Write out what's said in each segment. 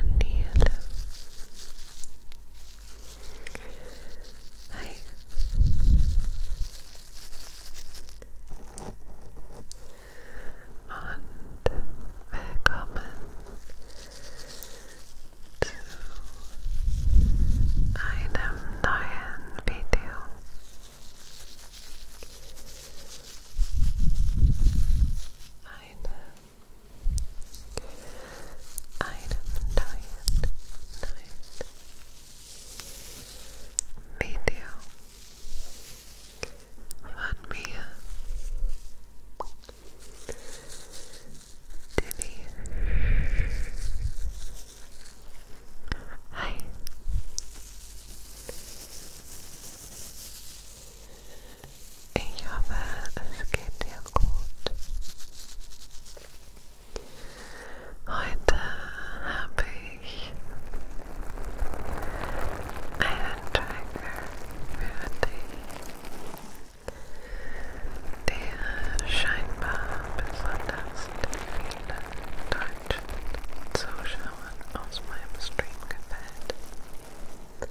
and yellow. Hi. Und willkommen zu einem neuen Video. Item diet night video fun Mia Diddy Hi Ich hoffe, es geht dir gut. Heute habe ich einen Tracker für dich, der scheinbar besonders viele deutschen Zuschauern aus meinem Stream gefällt.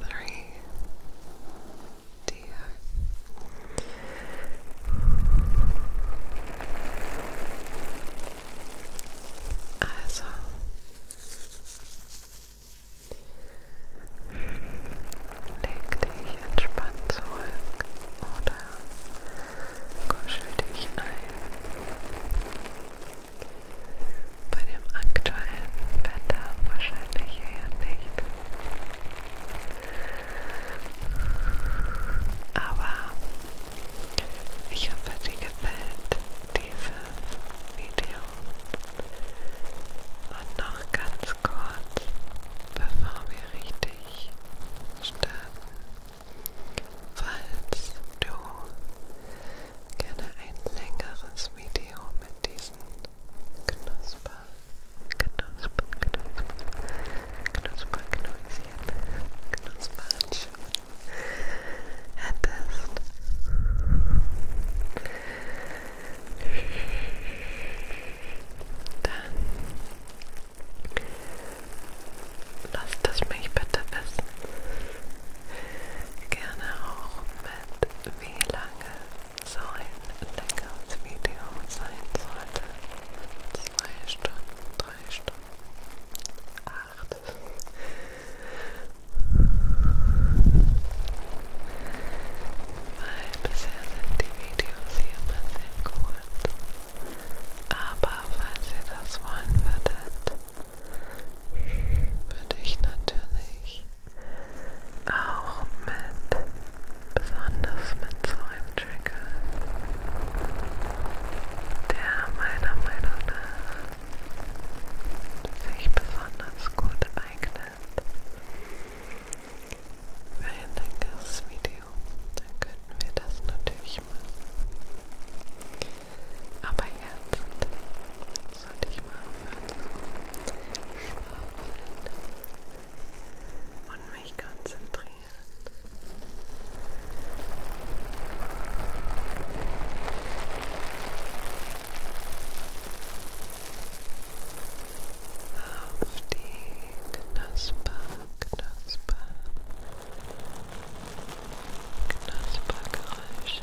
three, dear. Also, leg dich entspannt zurück oder kuschel dich ein. Bei dem aktuellen Wetter wahrscheinlich eher nicht. Aber ich hoffe, dir gefällt dieses Video. Und noch ganz kurz, bevor wir richtig starten, falls du gerne ein längeres Video mit diesen Knusper, Knusper, Knusper, Knusper, Knäuschen, Knusperhandschuhen hättest. Dann lasst es mich bitte wissen. Gerne auch mit wie lange so ein leckeres Video sein sollte. Zwei Stunden, drei Stunden, acht. Weil bisher sind die Videos hier immer sehr kurz. Aber falls ihr das wollen würdet, würde ich natürlich auch mit, besonders mit so einem Trigger, der meiner Meinung nach sich besonders gut eignet für ein längeres Video. Dann könnten wir das natürlich machen. Aber jetzt sollte ich mal aufhören zu schwafeln und mich konzentrieren. Auf die Knasper, Knasper, Knaspergeräusche.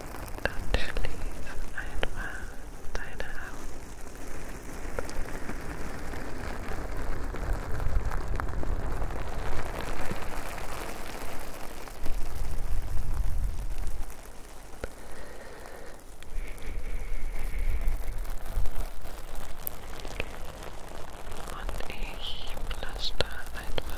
Natürlich ist einfach deine Augen. Und ich plaster einfach.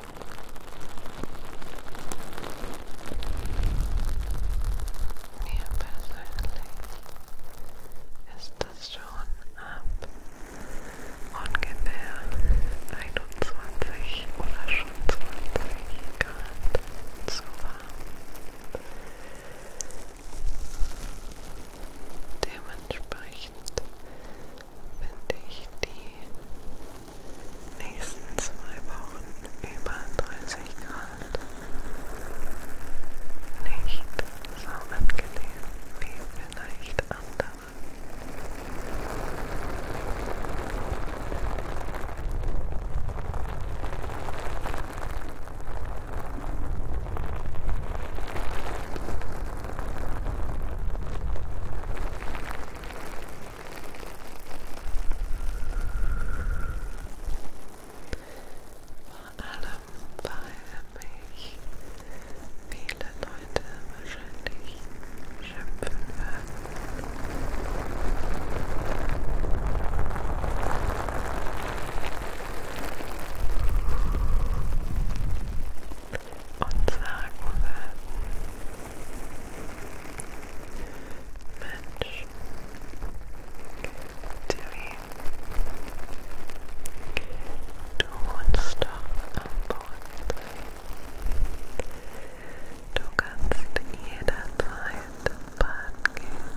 Mir persönlich ist das schon ab ungefähr 21 oder schon 20 Grad zu warm. Dementsprechend finde ich die nächsten zwei Wochen über 30 Grad. Nicht so angenehm wie vielleicht andere. Vor allem, weil mich viele Leute wahrscheinlich schimpfen werden. Und sagen werden, Mensch, Debbie, du wohnst doch am Bodensee. Du kannst jederzeit baden gehen.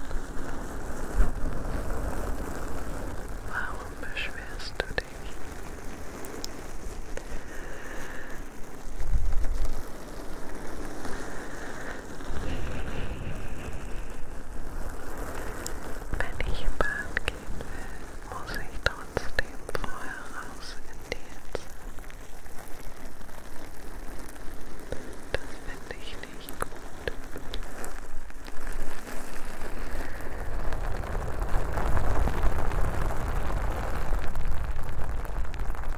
Warum beschwerst du dich? Wenn ich baden gehen will, muss ich trotzdem vorher raus in die Hitze. Das finde ich nicht gut.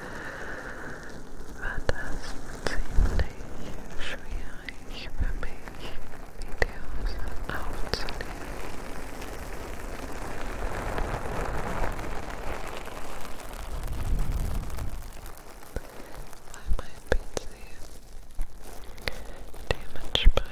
wird es ziemlich schwierig für mich, Videos aufzunehmen. Weil mein PC dementsprechend laut wird. Wegen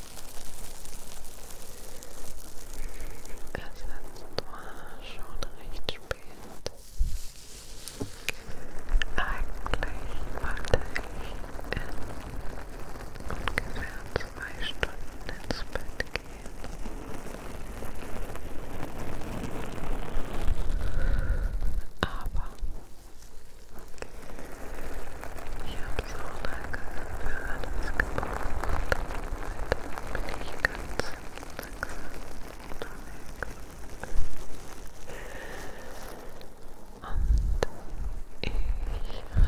Es ist zwar schon recht spät. Eigentlich wollte ich in ungefähr zwei Stunden ins Bett gehen. Aber ich habe so lange für alles gebraucht bin ich ganz langsam unterwegs. Und ich hatte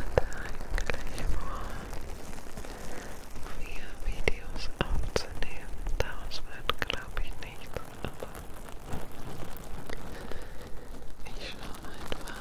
eigentlich vor, vier Videos aufzunehmen. Daraus wird, glaube ich, nichts, aber ich schaue einfach